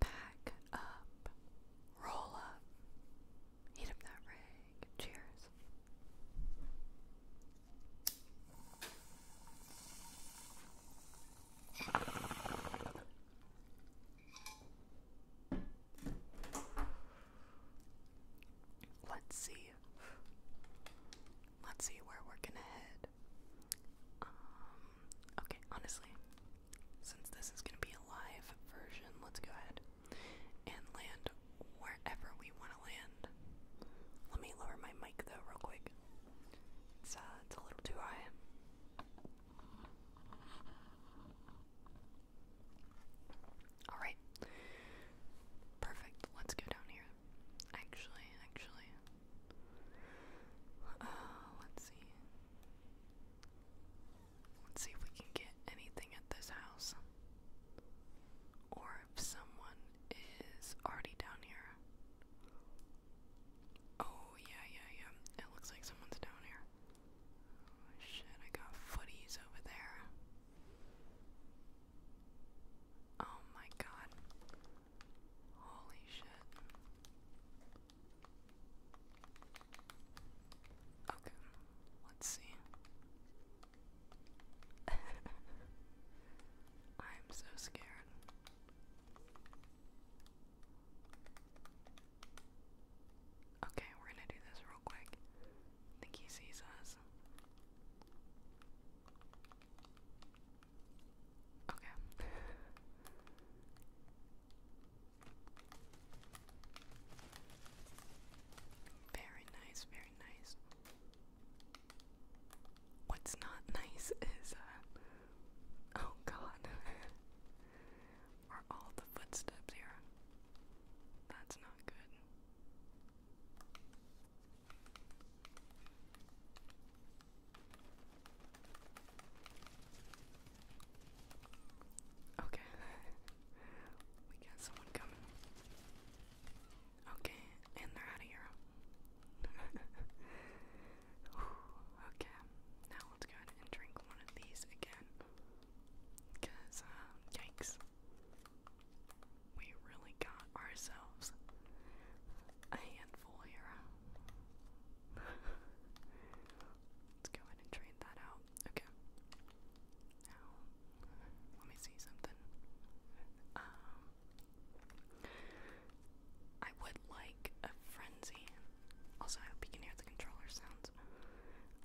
Back up. Roll up. Heat up that rig. Cheers. Let's see. Let's see where we're gonna head. Um, okay, honestly, since this is going to be a live version, let's go ahead and land wherever we want to land. Let me lower my mic though, real quick. It's, uh, it's a little too high. Alright. Perfect. Let's go down here. Actually, actually, uh, let's see. Let's see if we can get anything at this house. Or if someone is already down here. Oh, yeah, yeah, yeah. It looks like someone's down here. Oh, shit, I got footies over there. Oh my god. Holy shit. Okay, let's see. I'm so scared. Okay, we're gonna do this real quick. I think he sees us. Okay. very nice, very nice. What's not nice is, uh, oh god, are all the footsteps here? That's not good. Okay. we got someone coming. Okay, and they're out of here. okay, now let's go and drink one of these again. Because, um, yikes. We really got ourselves a handful here. Let's go ahead and trade that out. Okay. Now, let me see something. Um, I would like a frenzy. Also, I hope you can hear the controller sounds.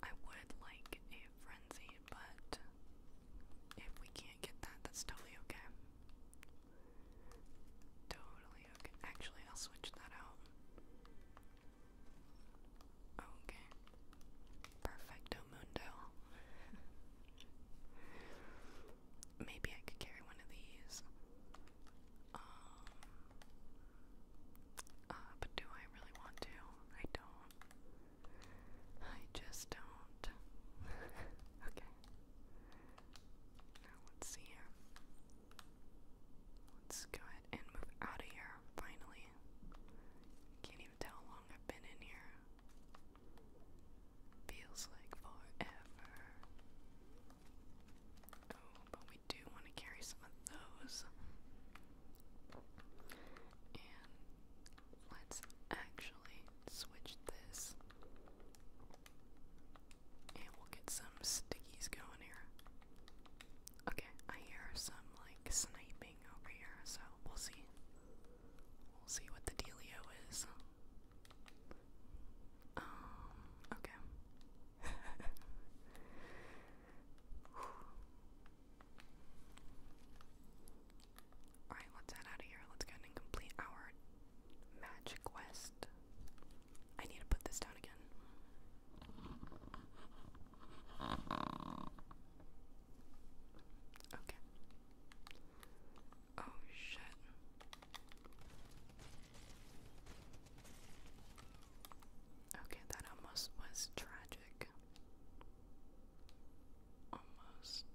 I would like a frenzy, but if we can't get that, that's totally okay. Totally okay. Actually, I'll switch that out. Okay. Perfecto mundo. Maybe I could carry one of these. Um, uh, but do I really want to? I don't. I just don't. okay. Now let's see here. Let's go ahead and move out of here, finally. Can't even tell how long I've been in here. Feels like forever. Oh, but we do want to carry some of those let's actually switch this. And we'll get some stickies going here. Okay, I hear some like sniping over here, so we'll see. We'll see what the dealio is. Um, okay. Alright, let's head out of here. Let's go and complete our magic quest. I need to put this down again. Okay. Oh shit. Okay, that almost was tragic. Almost.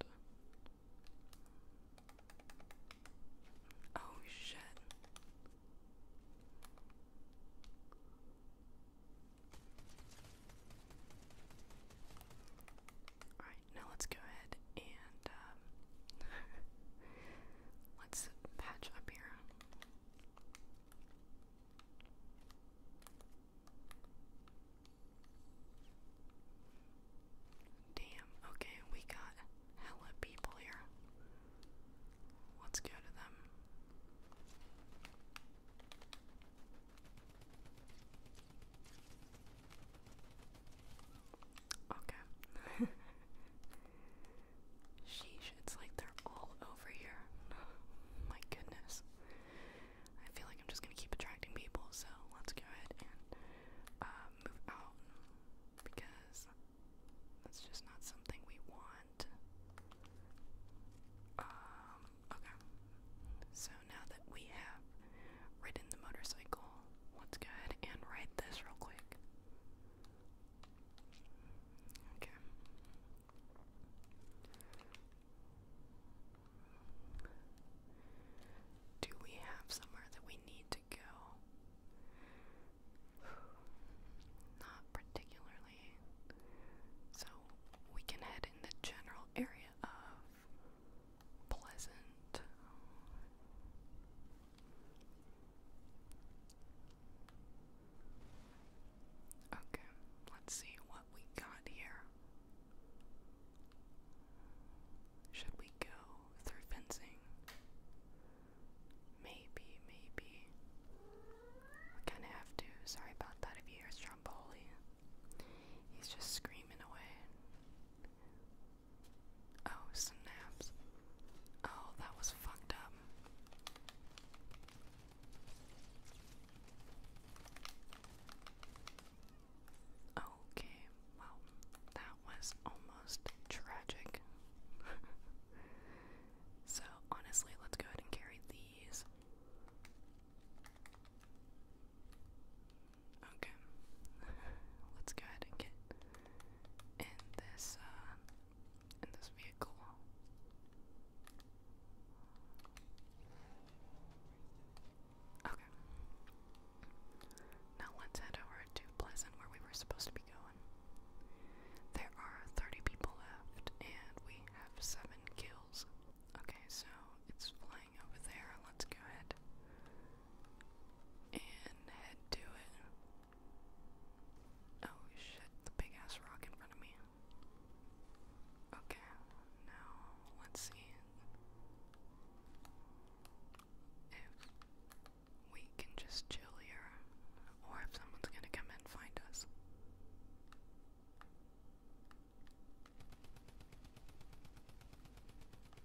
Oh shit. Alright, now let's go ahead and um, let's patch up here. Damn, okay, we got hella people here. Let's go to them. Okay. Sheesh, it's like they're all over here. My goodness. I feel like I'm just gonna keep attracting people, so let's go ahead and uh, move out because that's just not something we want. Um, okay. So now that we have ridden the motorcycle, let's go ahead and ride this real quick. Okay. Do we have somewhere that we need to go? Not particularly. So we can head in the general area of Pleasant. Okay, let's see what we got here. Should we go through fencing? Maybe, maybe. We kind of have to. Sorry about that if you hear Stromboli. He's just screaming away. Oh, snaps. Oh, that was fucked up. Okay, well, that was almost tragic. so, honestly, let's go ahead and carry these. Okay, let's go ahead and get in this uh, in this vehicle. Okay. Now let's head over to Pleasant where we were supposed to be going. There are 30 people left and we have 7 kills. Okay, so it's flying over there. Let's go ahead and head to it. Oh shit, the big ass rock in front of me. Okay, now let's see if we can just chill here or if someone's gonna come and find us.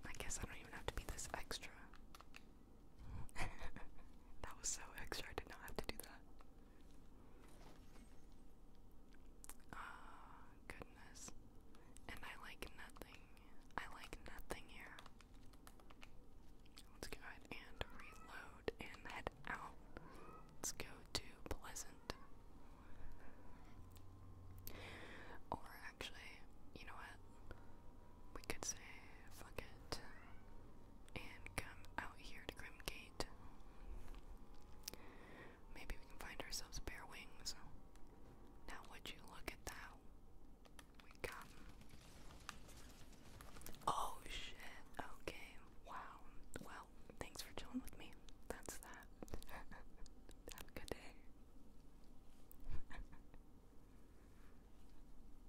I guess I don't even have to be this extra. That was so extra, I did not have to do that. Ah, goodness. And I like nothing. I like nothing here. Let's go ahead and reload and head out. Let's go to Pleasant. Or actually, you know what? We could say forget and come out here to Grimgate. Maybe we can find ourselves bare wings. Now would you look at that? We got Oh shit. Okay. Wow. Well, thanks for chilling with me. That's that. Have a good day.